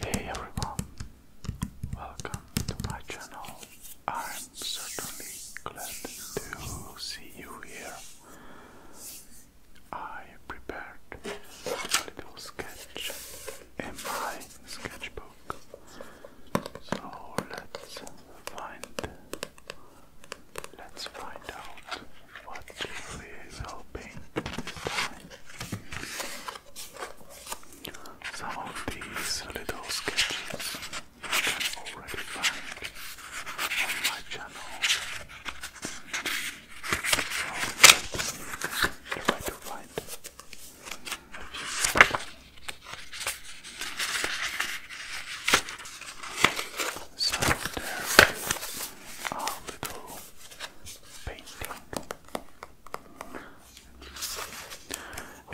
Hey everyone, welcome to my channel. I'm certainly glad to see you here. I prepared a little sketch in my sketchbook, so let's find let's find out what we will paint Some of these little sketches you can already find on my channel. try to find a there is our little painting.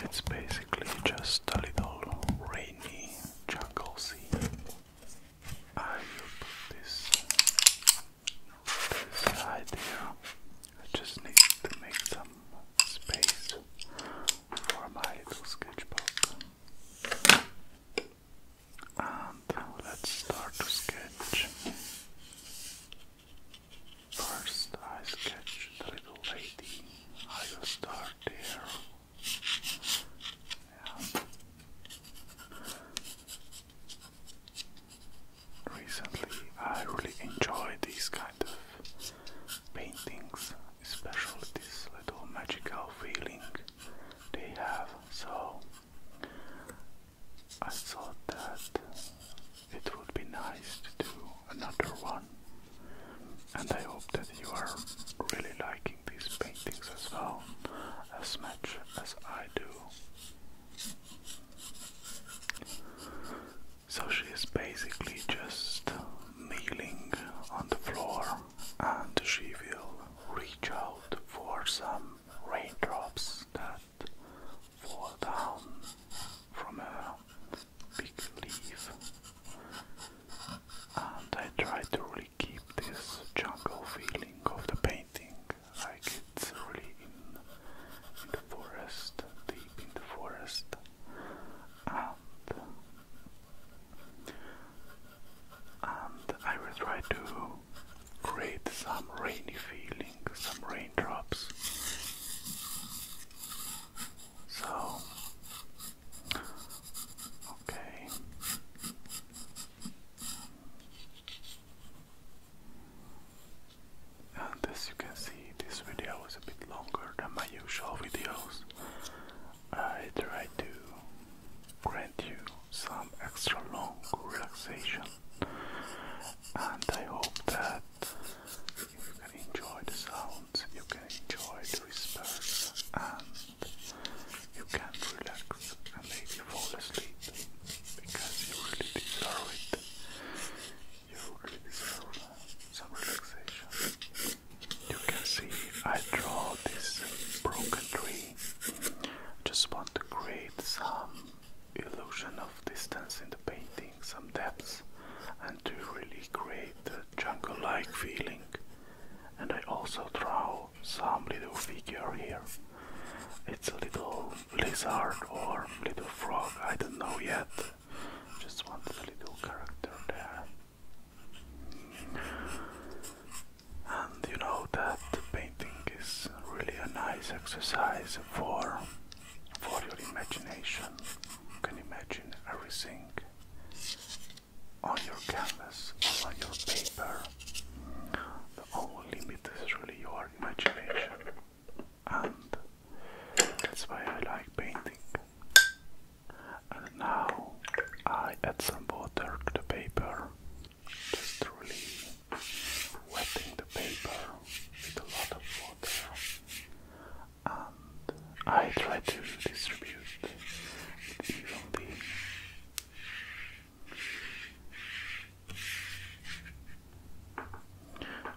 It's basically just a little rainy jungle scene. I will this, this side I just need to make some space for my little sketchbook. And let's start to sketch. First, I sketch the little lady. I start there. Recently, I really enjoy these kind of paintings, especially this little magical feeling they have. So I thought that it would be nice to do another one, and I hope that you are really liking these paintings as well, as much as I do. So she is basically just kneeling on the floor and she will reach out for some raindrops that fall down from a big leaf. And I try to really keep this jungle feeling of the painting, like it's really in, in the forest, deep in the forest. And and I will try to create some rainy feeling, some raindrops. So, okay. And as you can see, this video was a bit longer than my usual videos. I try to grant you some extra long relaxation. And I hope that you can enjoy the sounds, you can enjoy the whispers, and you can relax and maybe fall asleep because you really deserve it. You really deserve some relaxation. You can see I draw this broken tree just want to create some illusion of distance in the painting, some depth, and to really create the jungle-like feeling. And I also draw some little figure here. It's a little lizard or little frog, I don't know yet. Just want a little character there and you know that painting is really a nice exercise for for your imagination. You can imagine everything on your canvas, on your paper. The only limit is really your imagination, and that's why I like painting. And now I add some water to the paper just really wetting the paper with a lot of water and I try to distribute evenly.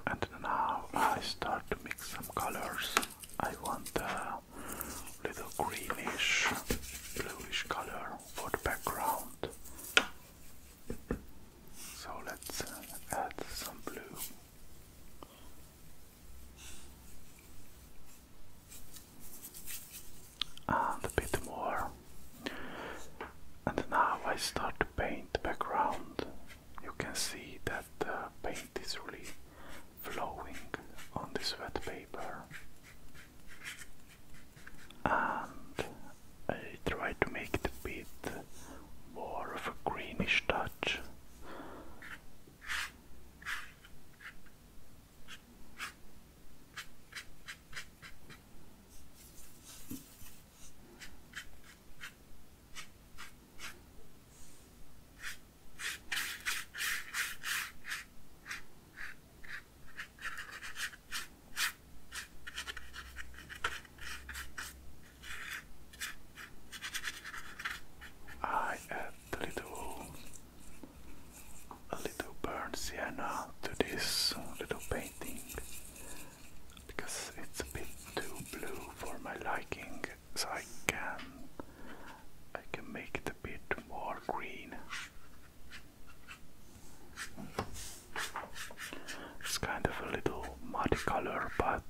And now I start to mix some colors. I want a little greenish, bluish color for the background. So let's uh, add some blue. And a bit more. And now I start to paint the background. You can see that the paint is really flowing on this wet paper and I try to make the bit more of a greenish touch. I add a little, a little burnt sienna to this little painting because it's a bit too blue for my liking, so I can I can make it a bit more green. It's kind of a little muddy color, but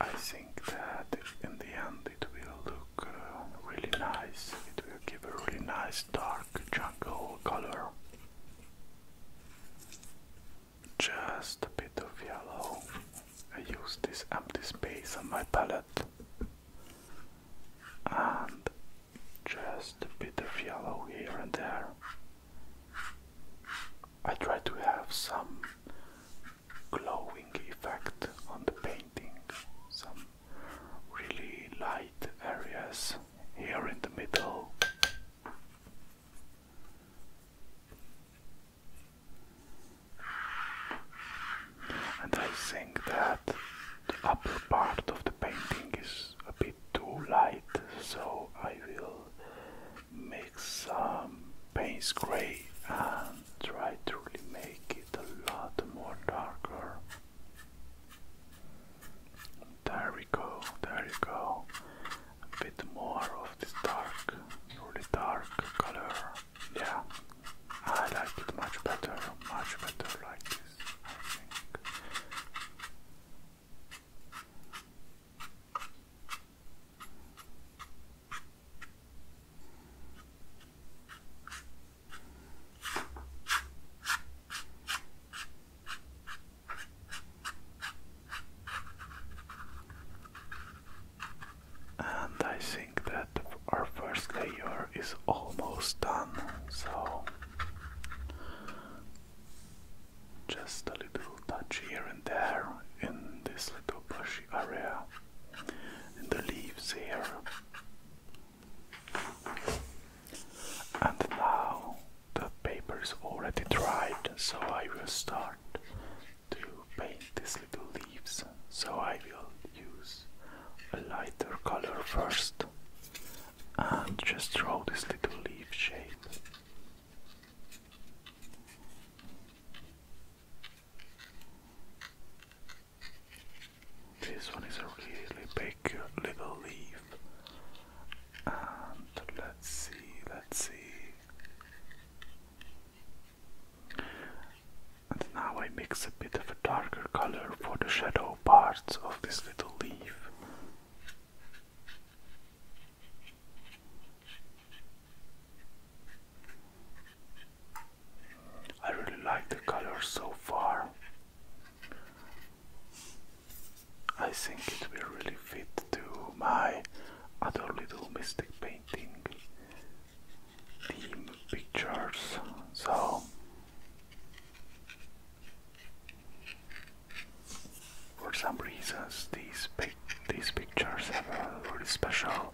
I think that in the end it will look uh, really nice. It will give a really nice dark jungle color. Just a bit of yellow. I use this empty space on my palette and just a bit of yellow here and there. I try to have some glowing effect on the painting, some really light areas here in the middle. And I think that the upper part of the painting is a bit too light, so I will make some paints gray and try to really make it a lot more darker. There we go, there we go. A bit more of this dark, really dark color. Yeah, I like it much better, much better like this, I think and I think that our first layer is almost done, so just a little touch here and there in this little bushy area, in the leaves here. And now the paper is already dried, so I will start to paint these little leaves. So I will use a lighter color first and just draw this little leaf shape. This one is a really big little leaf. And let's see, let's see. And now I mix a bit of a darker color for the shadow parts of this little leaf. I really like the color so far. I think it will really fit to my other little mystic painting theme pictures. So for some reasons these pic these pictures have a really special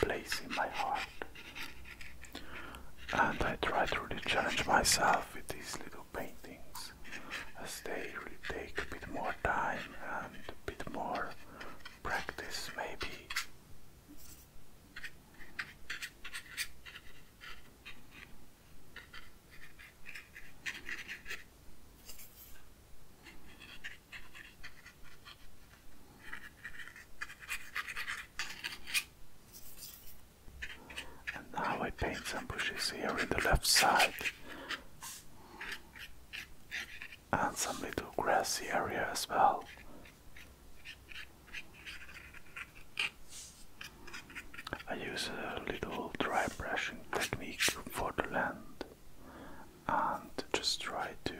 place in my heart. And I try to really challenge myself with these little paintings as they really take a bit more time and a bit more practice maybe. And now I paint some bushes here in the left side and some little grassy area as well. I use a little dry brushing technique for the land and just try to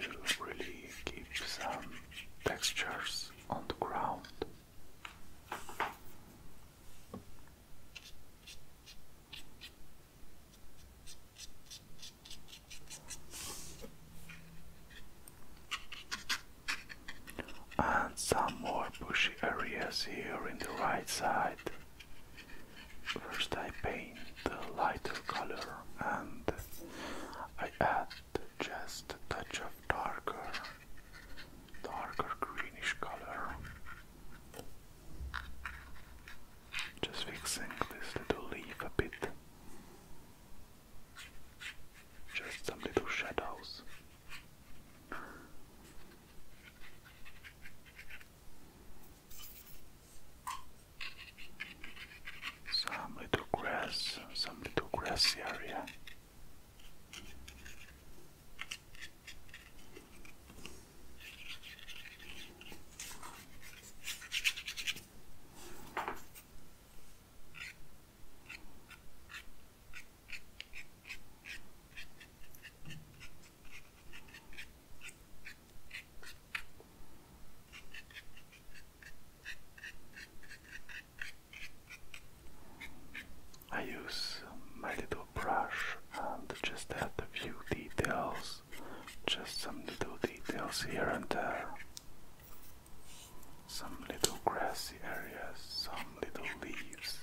really keep some textures on the ground. And some more bushy areas here in the right side. First I paint the lighter color and I add just a touch of darker, darker greenish color. Just fixing this little leaf a bit. Just some little shadows. Some little grass, some little grassy area. I use my little brush and just add a few details, just some little details here and there some little grassy areas, some little leaves.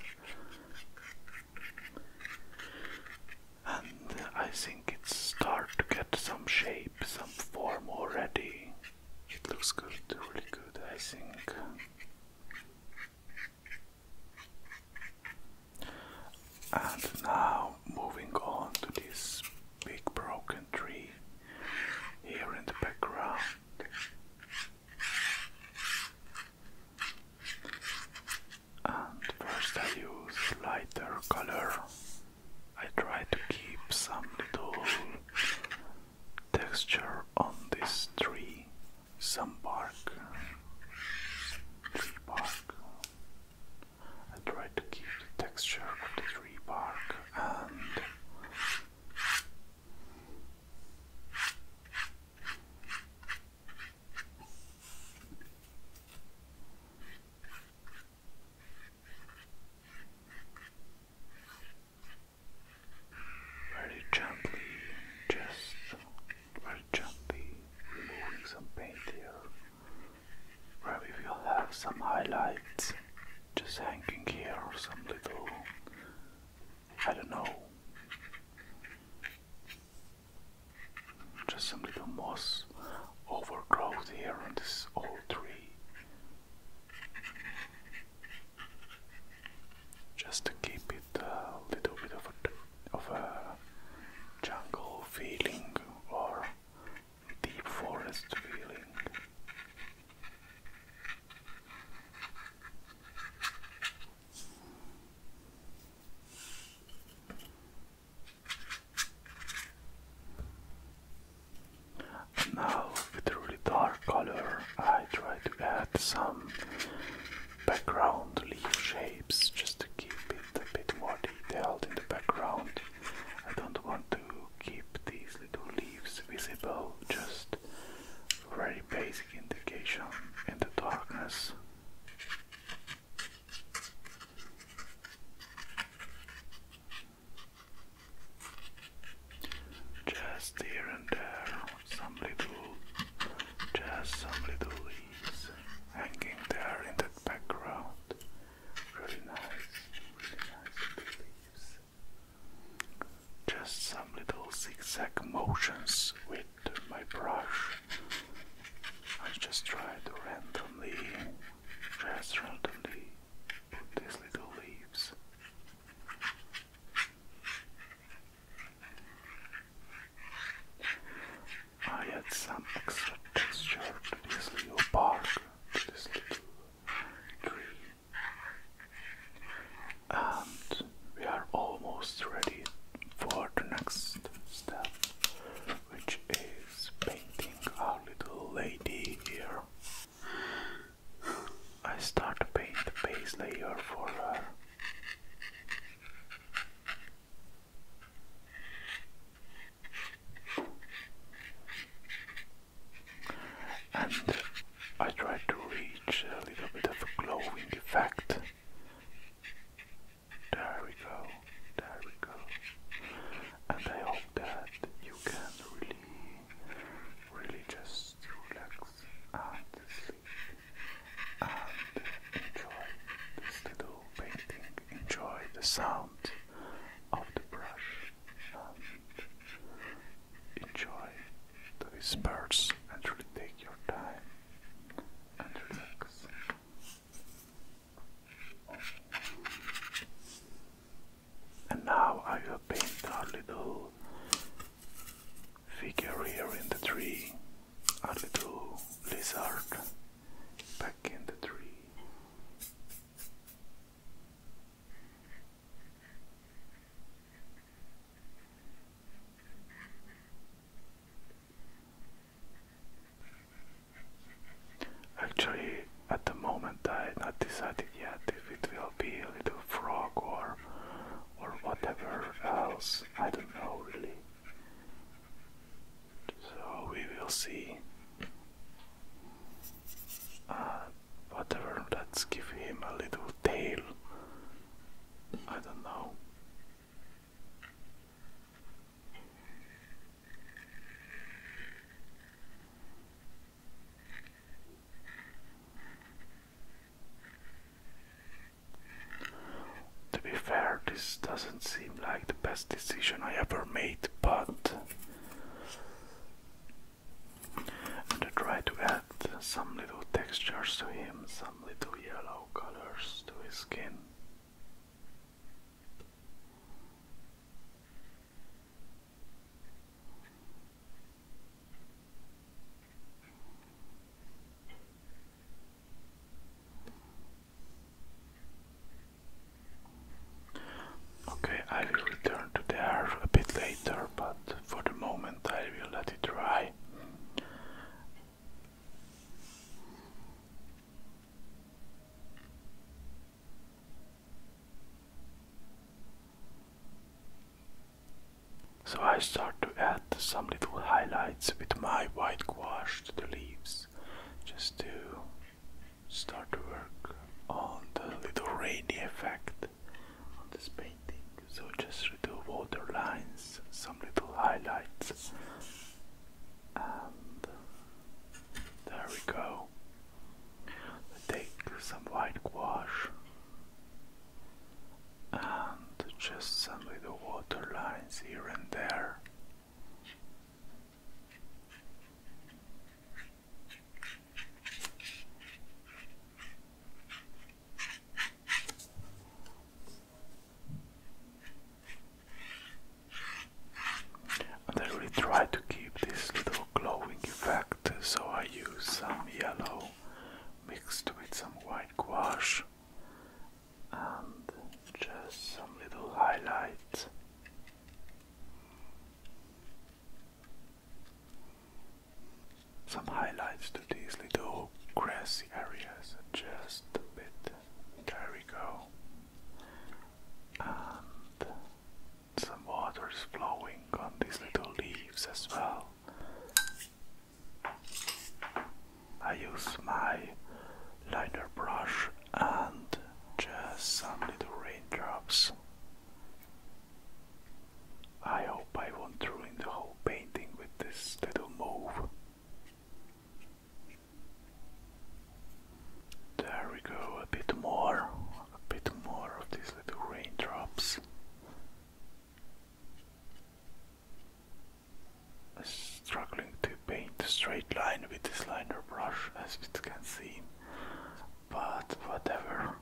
And uh, I think it's start to get some shape, some form already. It looks good, really good, I think. And now moving on to this big broken tree here in the background. And first I use lighter color. I try to keep some little texture on this tree, some bark, tree bark. I try to keep the texture of the tree bark and very gently, just very gently removing some paint here where we will have some highlights just hanging here or some little I don't know just some little moss overgrowth here on this old tree just to keep it a little bit of a jungle feeling or deep forest feeling. now with really dark color I try to add some background leaf shapes just to keep it a bit more detailed in the background. I don't want to keep these little leaves visible, just very basic indication in the darkness. Just here and there, some little, just some little leaves hanging there in that background. Really nice, really nice leaves. Just some little zigzag motions with my brush. I just try to randomly, just randomly put these little leaves. I add some extra texture to this little bark this little And we are almost ready for the next step, which is painting our little lady here. I start to paint the base layer for her. And I tried to reach a little bit of a glowing effect. There we go, there we go. And I hope that you can really, really just relax and sleep and enjoy this little painting, enjoy the sound of the brush and enjoy the whispers and really take your time and relax. And now I will paint our little figure here in the tree, our little lizard back in the tree. Actually, at the moment, I have not decided yet if it will be a little frog or or whatever else. I don't know really. So we will see. Uh, whatever, let's give him a little tail. I don't know. To be fair, this doesn't seem like best decision I ever made, but I'm gonna try to add some little textures to him, some little yellow colors to his skin. Okay, I will return to the air a bit later, but for the moment I will let it dry. So I start to add some little highlights with my white gouache to the leaves just to start to work on the little rainy effect on this painting. So just do water lines, some little highlights, and there we go. Take some white gouache and just some little water lines here and there. I really try to keep this little glowing effect, so I use some yellow mixed with some white gouache and just some little highlights. Some highlights to these little grassy areas, just a bit. There we go. And some water is flowing on these little leaves as well. I use my liner brush and just some little raindrops. I hope I won't ruin the whole painting with this little move. There we go, a bit more, a bit more of these little raindrops struggling to paint a straight line with this liner brush as it can seem but whatever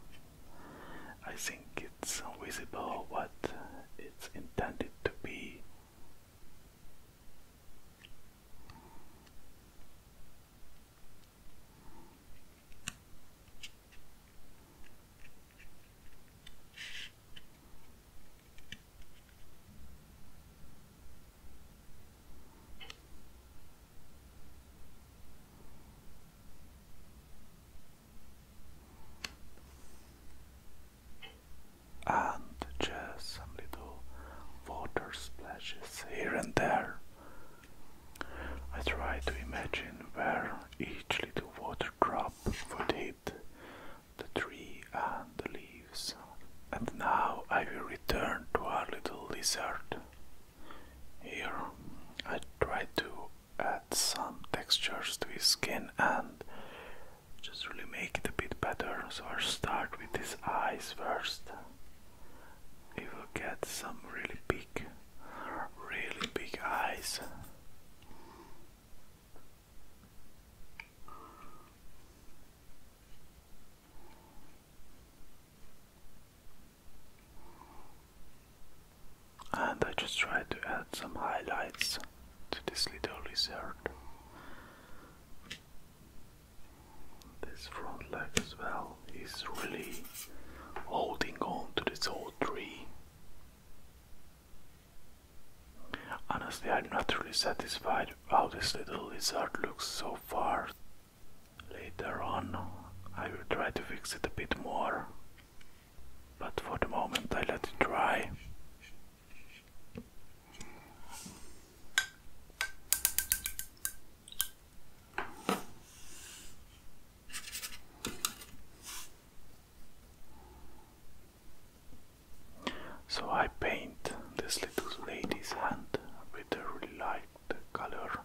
I think it's visible what it's intended to be and just some little water splashes here and there. I try to imagine where each little water drop would hit the tree and the leaves. And now I will return to our little lizard. Here I try to add some textures to his skin and just really make it a bit better. So I'll start with his eyes first. He will get some really big, really big eyes. And I just tried to add some highlights to this little lizard. This front leg as well is really holding on to this old tree. Honestly, I'm not really satisfied how this little lizard looks so far. Later on, I will try to fix it a bit more. But for the moment, I let it dry. So I paint this little lady's hand with a really light color.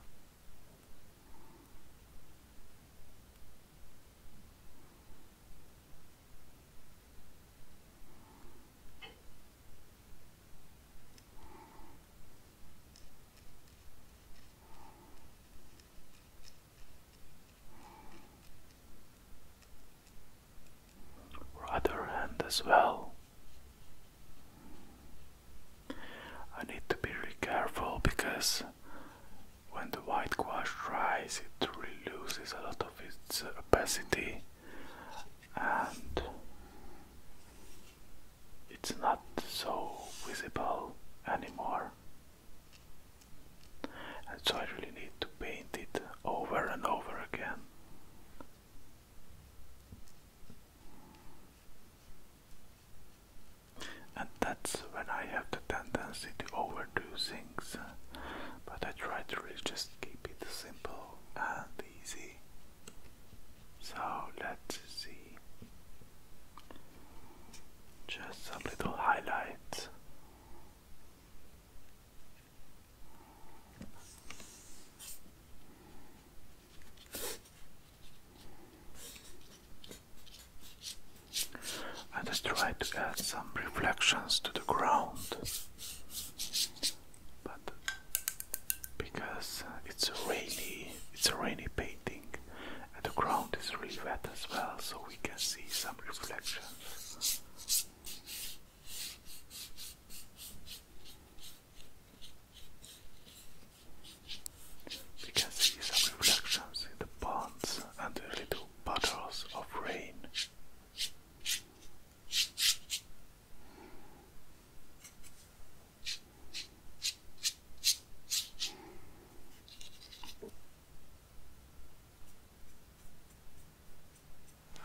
Other hand as well. I need to be really careful because when the white gouache dries, it really loses a lot of its uh, opacity and it's not so visible anymore. And so I really need to paint it over and over again. And that's when I have the tendency to overdo things, but I try to just keep it simple and easy. So let's see. Just some little highlights. Let us try to add some reflections to the ground, but because it's a rainy, it's a rainy painting, and the ground is really wet as well, so we can see some reflections. Because can see some reflections in the ponds and the little puddles of rain.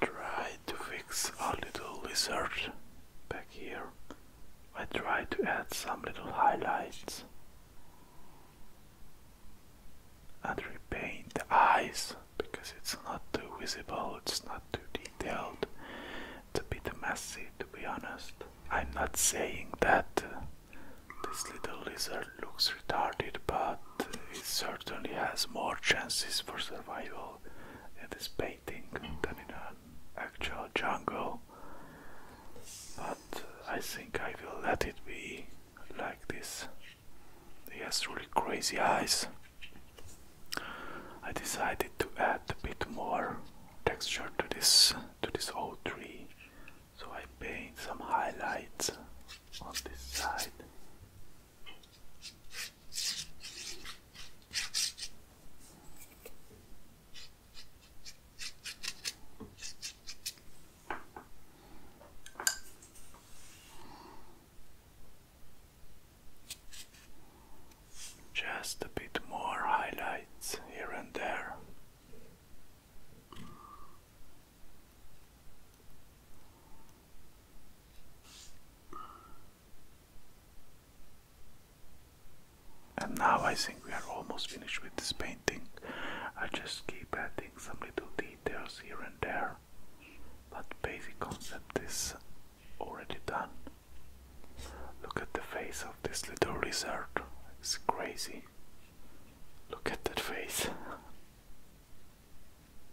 Try to fix a little lizard back here. I try to add some little highlights and repaint the eyes because it's not too visible, it's not too detailed, it's a bit messy to be honest. I'm not saying that uh, this little lizard looks is but it certainly has more chances for survival in this painting than in an actual jungle. But I think I will let it be like this. He has really crazy eyes. I decided to add a bit more texture to this to this old tree, so I paint some highlights on this side. Just a bit more highlights here and there. And now I think we are almost finished with this painting. I just keep adding some little details here and there, but basic concept is already done. Look at the face of this little lizard. It's crazy. Look at that face.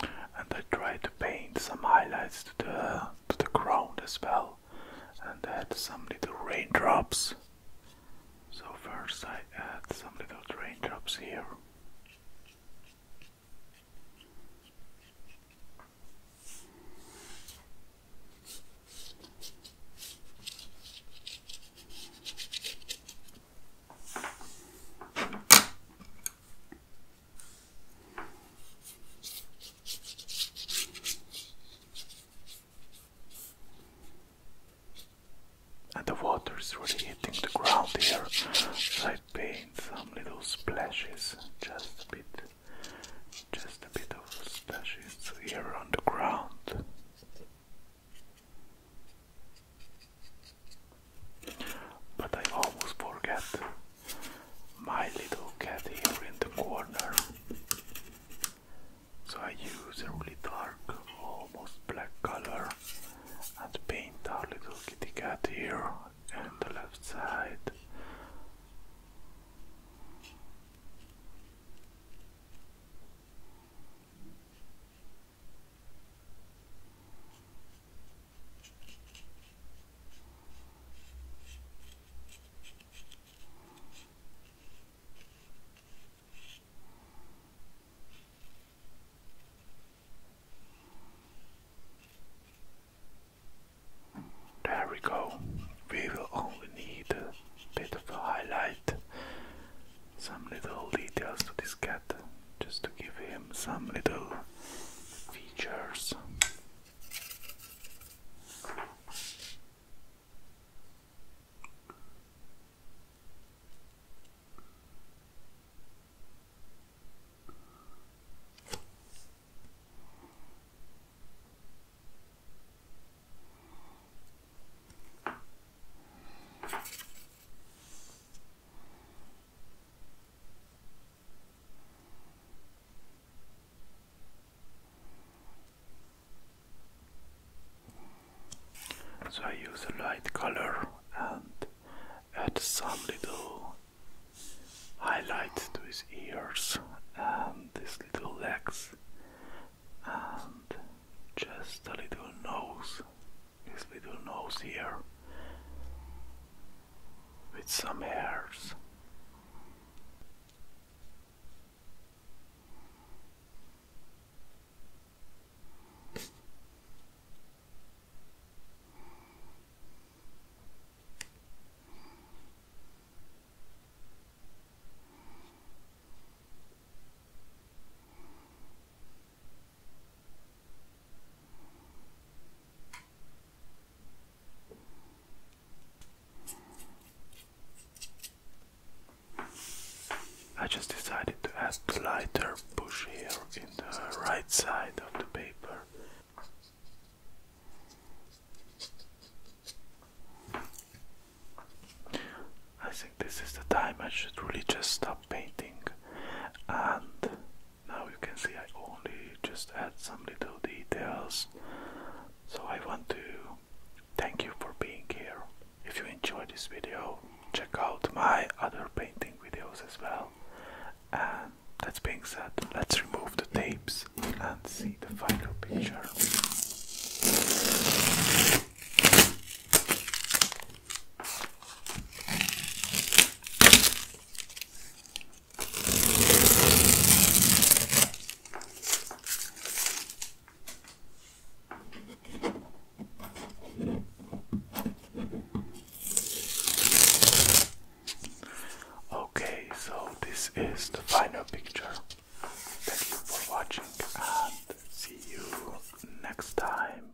And I tried to paint some highlights to the to the ground as well, and add some little raindrops. So first I add some little raindrops here. And the water is really hitting the ground here, I paint some little splashes, just a bit, just a bit of splashes here on the ground. But I almost forget my little kitty here in the corner. So I use a really dark, almost black color and paint our little kitty cat here on the left side. There we go. We will only need a bit of a highlight, some little details to this cat just to give him some little features. So I use a light color and add some little highlights to his ears and his little legs and just a little nose his little nose here with some hairs. I just decided to add the lighter push here in the right side of the paper. I think this is the time I should really just stop painting and now you can see I only just add some little details. So I want to thank you for being here. If you enjoyed this video, check out my other painting videos as well. And that being said, let's remove the tapes and see the final picture. Okay, so this is the final picture. Thank you for watching and see you next time.